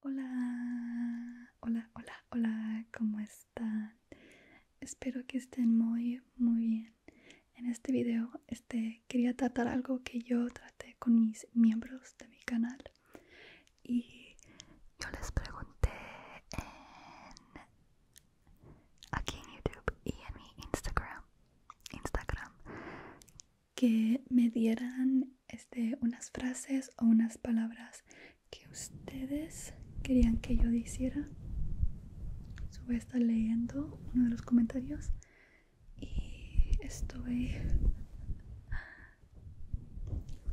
Hola, hola, hola, hola, ¿cómo están? Espero que estén muy, muy bien. En este video este, quería tratar algo que yo traté con mis miembros de mi canal y yo les pregunté en, aquí en YouTube y en mi Instagram, Instagram que me dieran este, unas frases o unas palabras que ustedes querían que yo hiciera. su voy a estar leyendo uno de los comentarios y estoy...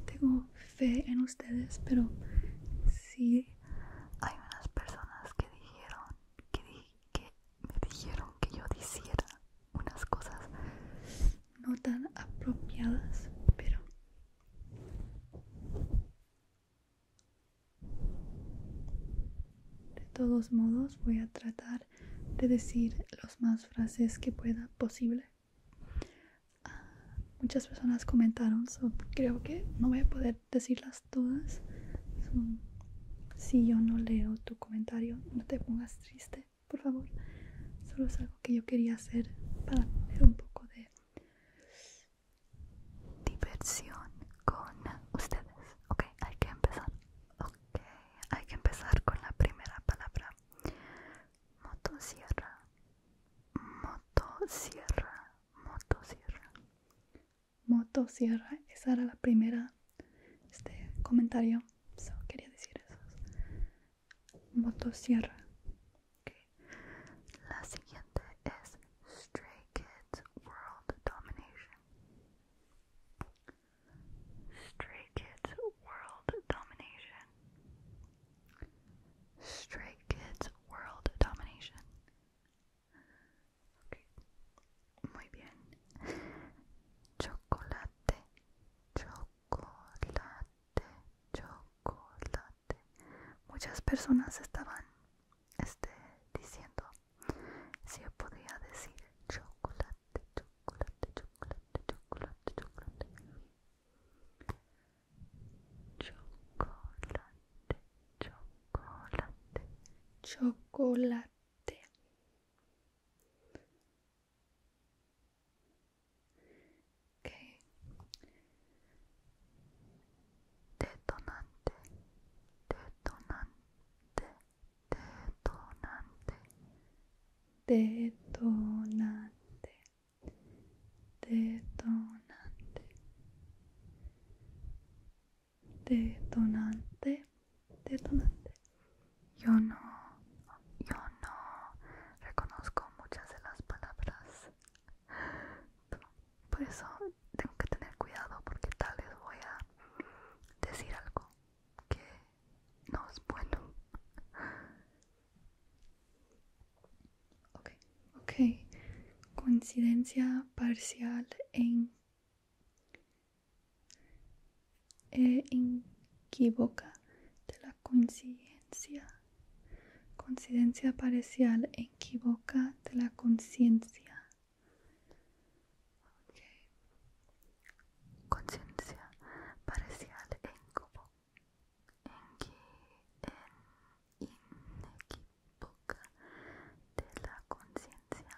Tengo fe en ustedes, pero sí hay unas personas que dijeron que, que me dijeron que yo hiciera unas cosas no tan apropiadas, pero de todos modos voy a tratar de decir los más frases que pueda posible. Ah, muchas personas comentaron, creo que no voy a poder decirlas todas. si yo no leo tu comentario, no te pongas triste por favor. Solo es algo que yo quería hacer para tener un poco de diversión con ustedes. Ok, hay que empezar. Ok, hay que empezar con la primera palabra. Motosierra. Motosierra. Motosierra. Motosierra. Esa era la primera este comentario so quería decir esos motosierra okay. la siguiente es Stray Kids World Domination Stray Kids World Domination Stray Kids World Domination okay. Muy bien Chocolate Chocolate chocolate, chocolate. Muchas personas estaban este, diciendo si podía decir chocolate, chocolate, chocolate, chocolate, chocolate. Chocolate, chocolate, chocolate. Detonante, detonante, detonante, detonante, detonante, detonante detonante. Yo no, yo no reconozco muchas de las palabras. Por eso tengo que tener cuidado porque tal vez voy a decir algo que no es bueno. Ok, ok. Coincidencia parcial en e Inquivoca de la coincidencia. Coincidencia parcial equivoca de la conciencia. ok Conciencia parcial equivoca equivoca de la conciencia.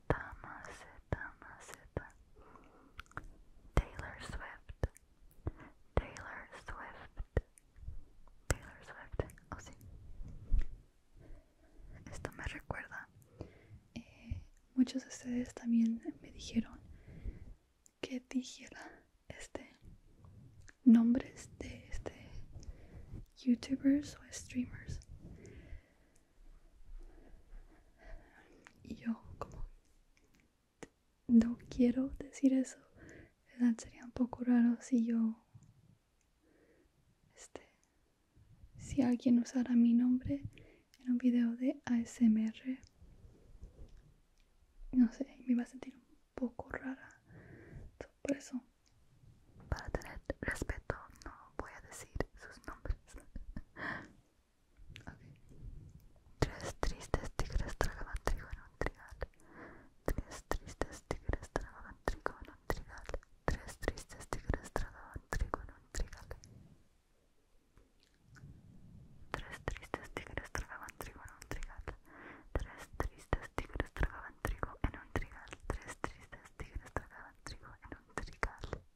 Mazeta, Mazeta, Taylor Swift. Taylor Swift. Taylor Swift. Oh sí. Esto me recuerda. Eh, muchos de ustedes también me dijeron que dijera este nombres de este youtubers o streamers y yo como no quiero decir eso, ¿verdad? Sería un poco raro si yo, este, si alguien usara mi nombre en un video de ASMR. No sé, me iba a sentir un poco rara. por eso, para tener respeto, no voy a decir sus nombres. Tres tristes tigres trigo en un trigal. Tres tristes tigres tragaban trigo en un trigal. Tres tristes tigres tragaban trigo en un trigal. Tres tristes tigres tragaban trigo en un trigal. Tres tristes tigres tragaban trigo en un trigal. Tres tristes tigres tragaban trigo en un trigal.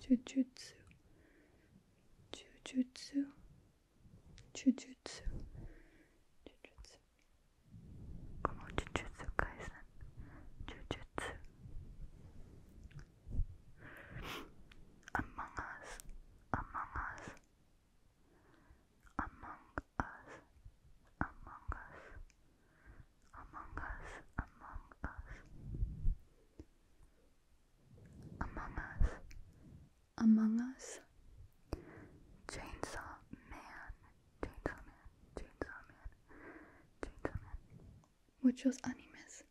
Jujutsu. Jujutsu. Jujutsu. Jujutsu. Jujutsu. Jujutsu. Jujutsu. Como Jujutsu Kaisen. Jujutsu. Among us. Among us among us, among us, among us, among us, among us, among us, chainsaw man, chainsaw man, chainsaw man, chainsaw man, muchos animes.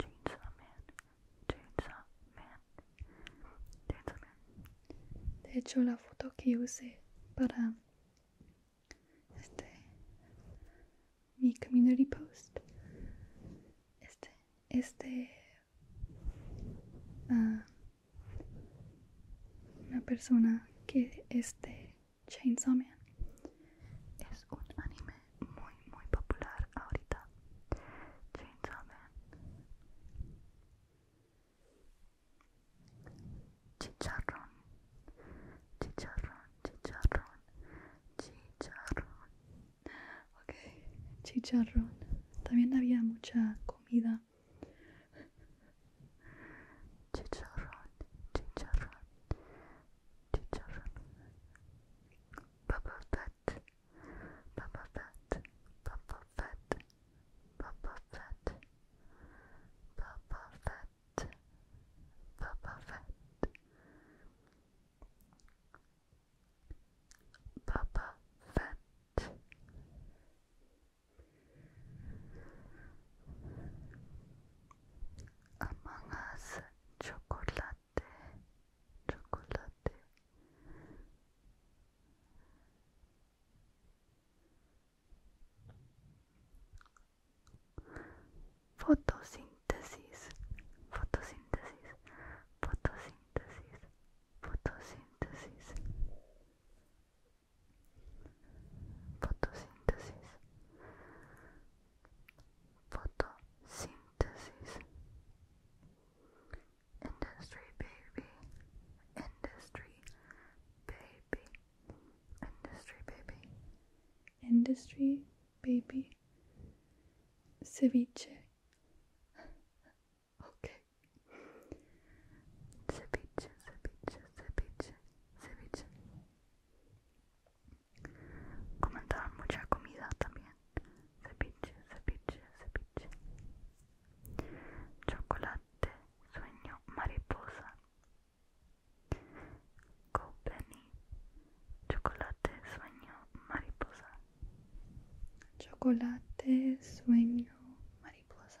Chainsaw Man, Chainsaw Man. Chainsaw Man. De hecho, la foto que usé para este mi community post, este, este, ah, una persona que este Chainsaw Man es un anime muy muy popular ahorita Chainsaw Chicharrón Chicharrón Chicharrón Chicharrón Ok, chicharrón También había mucha comida Chicharrón, chicharrón, chicharrón Bubble Pet Boba Fett, Boba Fett, Boba Fett, Boba Fett, Boba Fett, Boba Fett. Among Us Chocolate chocolate fotosíntesis fotosíntesis fotosíntesis fotosíntesis fotosíntesis fotosíntesis Industry baby. Industry baby. Industry baby. Industry baby. Ceviche. okay. Ceviche, ceviche, ceviche, ceviche. comentaban mucha comida también cepiche cepiche cepiche chocolate, sueño, mariposa Copeni, chocolate, sueño, mariposa chocolate, sueño, mariposa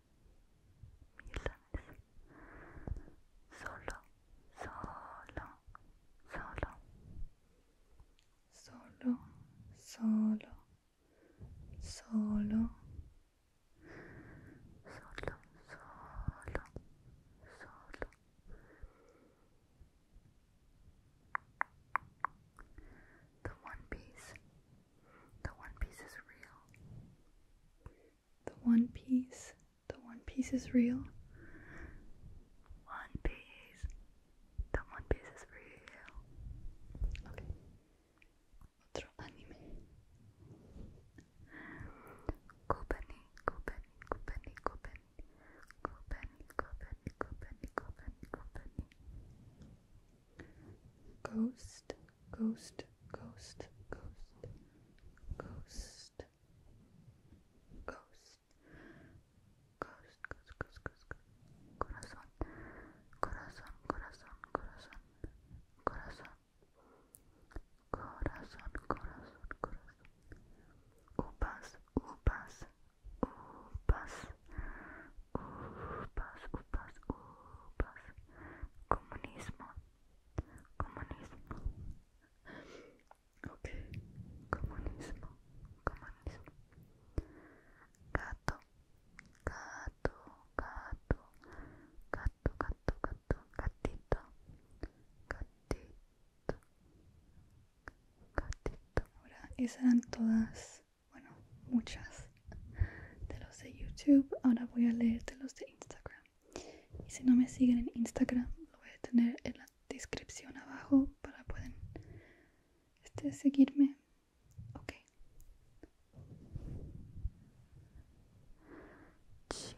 millones. Solo, solo, solo. Solo, solo, solo. Solo, solo, solo. The One Piece. The One Piece is real the One Piece. The One Piece is real. One Piece. The One Piece is real. Okay. Otro anime. Kupani, Kupani, Kupani, Kupani. Kupani, Kupani, Kupani, Kupani, Ghost ghost, ghost, ghost, ghost, ghost, ghost, ghost, ghost, ghost, corazón, corazón, corazón, corazón, corazón, corazón, corazón, corazón, upas, upas, upas, upas, upas, upas, comunismo. Comunismo. Comunismo. Comunismo. Gato. Gato. Gato. Gato. Gato. Gato. Gatito. Gatito. Gatito. Ahora, esas eran todas, bueno, muchas de los de YouTube, ahora voy a leer de los de Instagram. Y si no me siguen en Instagram, lo voy a tener en la descripción abajo para pueden este, seguirme. Ok. Cheetos,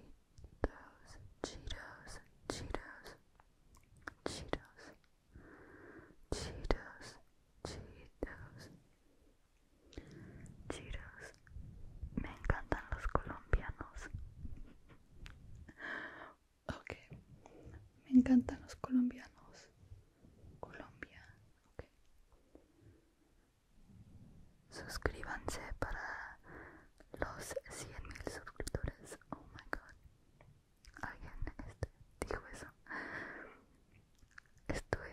Cheetos, Chiros, me encantan los colombianos. Ok, me encantan los colombianos. Colombia, ok. Suscríbanse para los 100.000 suscriptores. Oh my god. Alguien este, dijo eso. Estoy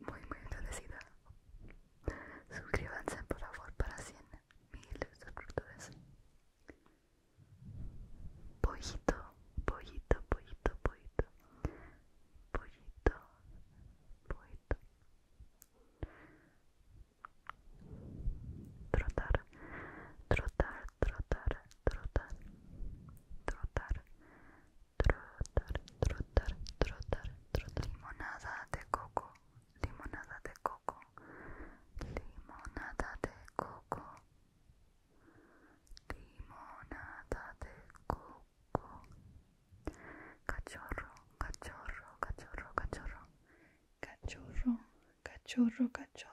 muy muy agradecida suscríbanse por favor para 100 mil suscriptores pollito pollito pollito pollito pollito pollito trotar trotar trotar trotar trotar trotar, trotar, trotar, trotar. Limonada de coco, limonada de coco, limonada de coco, limonada de coco. Cachorro, cachorro, cachorro, cachorro, cachorro, cachorro, cachorro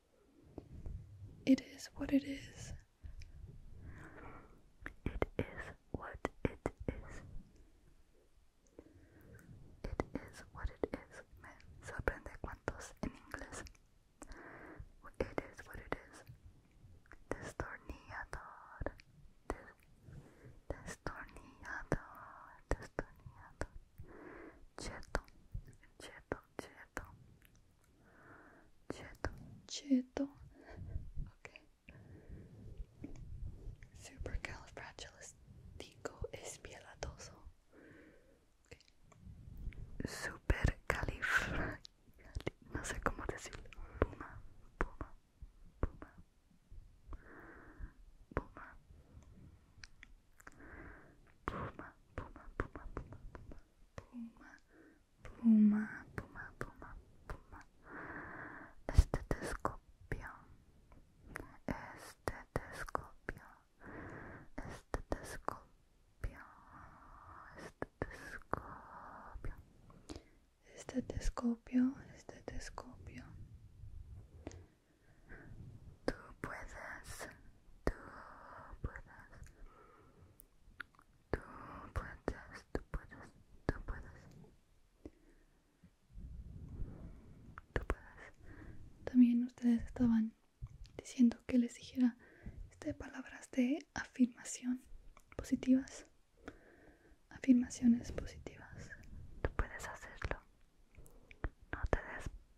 It is what it is. It is what it is. It is what it is. Me sorprende cuántos en inglés. It is what it is. Destornillador. destornillador. Destornillador. Cheto. Cheto. Cheto. cheto, cheto. Okay. Supercalifragilistic espialatoso. Okay. calif no sé cómo decirlo. Puma, puma, puma, puma, puma, puma, puma, puma, puma puma, puma, puma, puma, puma. Estetoscopio, estetoscopio, estetoscopio, estetoscopio, estetoscopio, estetoscopio. Tú puedes tú puedes tú puedes tú puedes tú puedes tú puedes También ustedes estaban diciendo que les dijera este, palabras de afirmación positivas, afirmaciones positivas. Tú puedes hacerlo. No te des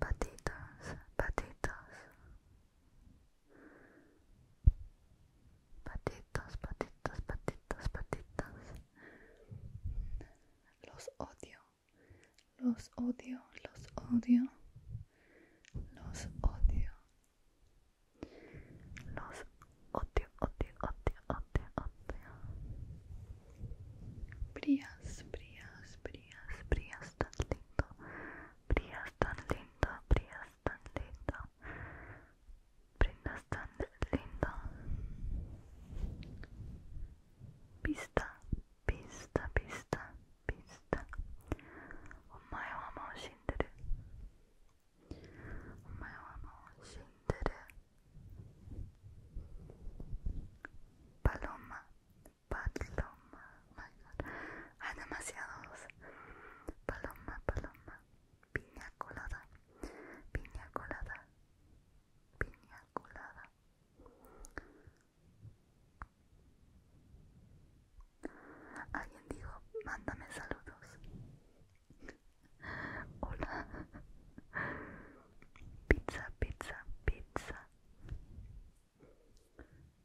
patitas patitas patitas patitas patitas patitos. Los odio, los odio, los odio, los odio, los odio. oddio, oddio, oddio, oddio, Brias, Brias, Brias, Brias tan lindo. Brias tan lindo, Brias tan lindo. Brias tan lindo. Pista, pista, pista, pista. Omae wa mou shindere. Omae wa mou shindere. Paloma, paloma, my God. Hay demasiados. Paloma, paloma, piña colada, piña colada, piña colada. Alguien dijo, mándame saludos. Hola. Pizza, pizza, pizza.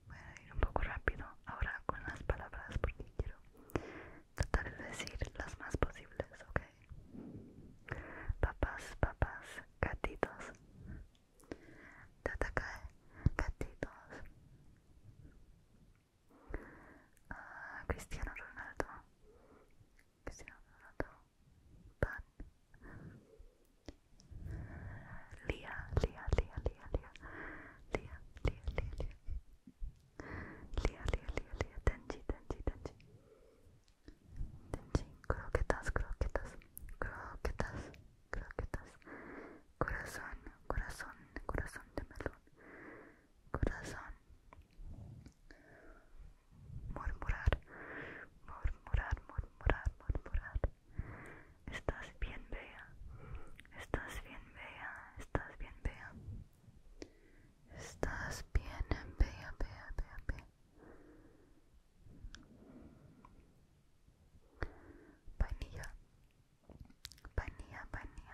Voy a ir un poco rápido ahora con las palabras porque quiero tratar de decir las más posibles, ¿ok? papas, papas gatitos. Tatacae, gatitos. Ah, Cristiano Ronaldo. Leonardo, Pan, Leah, Leah, Leah, Leah, Leah, Leah, Leah, Leah, Leah, Leah, Leah, Leah, Leah, Tenji, Tenji, Tenji, Tenji, croquetas, croquetas, croquetas, croquetas, corazón, corazón, corazón de melón, corazón. murmurar, murmurar, murmurar, murmurar. Estás bien vea, estás bien vea, estás bien vea, Estás bien Bea, Bea, Bea, panilla panía panía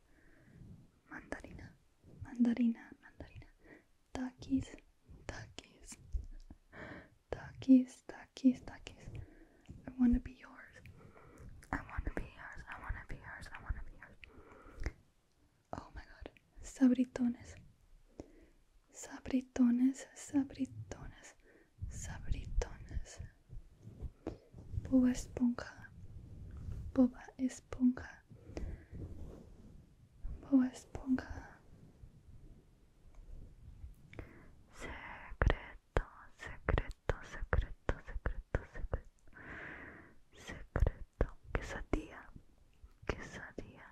Mandarina, mandarina, mandarina. Takis, takis, takis, takis, takis. I want to be yours. I want to be yours. I want to be yours. I want to be yours. Oh my god. Sabritones. Sabritones, sabritones, sabritones, Boba Esponja, Boba Esponja, Boba Esponja. Secreto, secreto, secreto, secreto, secreto. Secreto, quesadilla, quesadilla,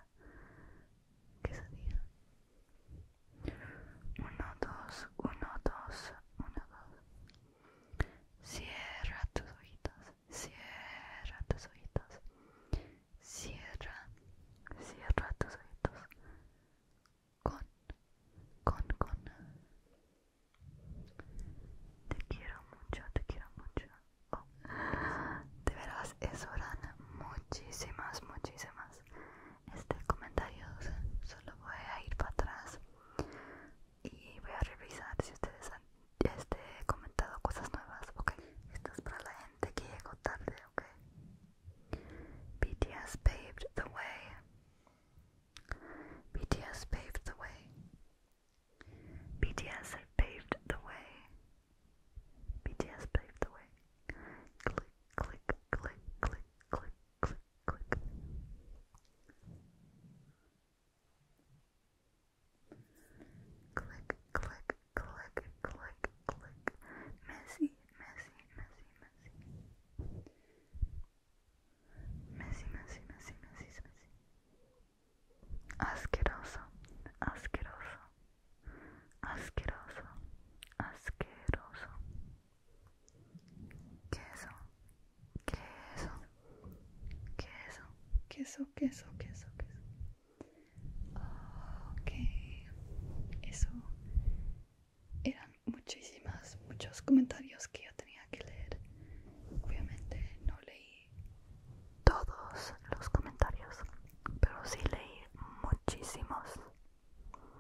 quesadilla. Uno, dos, uno, dos, uno, dos. Cierra tus ojitos, cierra tus ojitos, cierra, cierra tus ojitos. Con, con, con. Te quiero mucho, te quiero mucho. Te oh. De veras, eso muchísimas, muchísimas este comentario solo voy a ir para atrás y voy a revisar si ustedes han este, comentado cosas nuevas, ok. Esto es para la gente que llegó tarde, ok. BTS paved the way. BTS paved the way. BTS paved the way. BTS paved the way. Click, click, click, click, click, click, click. Click, click, click, click, click. Messy, messy, messy, messy. Messy, messy, messy, messy, messy. Asqueroso, asqueroso, asqueroso, asqueroso. queso, queso, queso, queso, queso, queso, queso. Ah, ok, eso eran muchísimas, muchos comentarios que yo tenía que leer. Obviamente no leí todos los comentarios, pero sí leí muchísimos.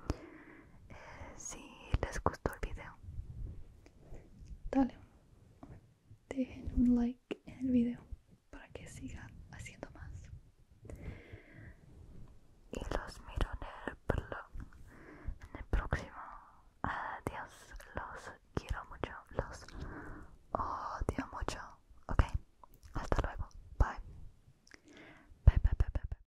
Eh, si les gustó el video dale dejen un like en el video para que sigan haciendo más y los miro en el, en el próximo adiós los quiero mucho los odio mucho ok hasta luego bye bye bye, bye.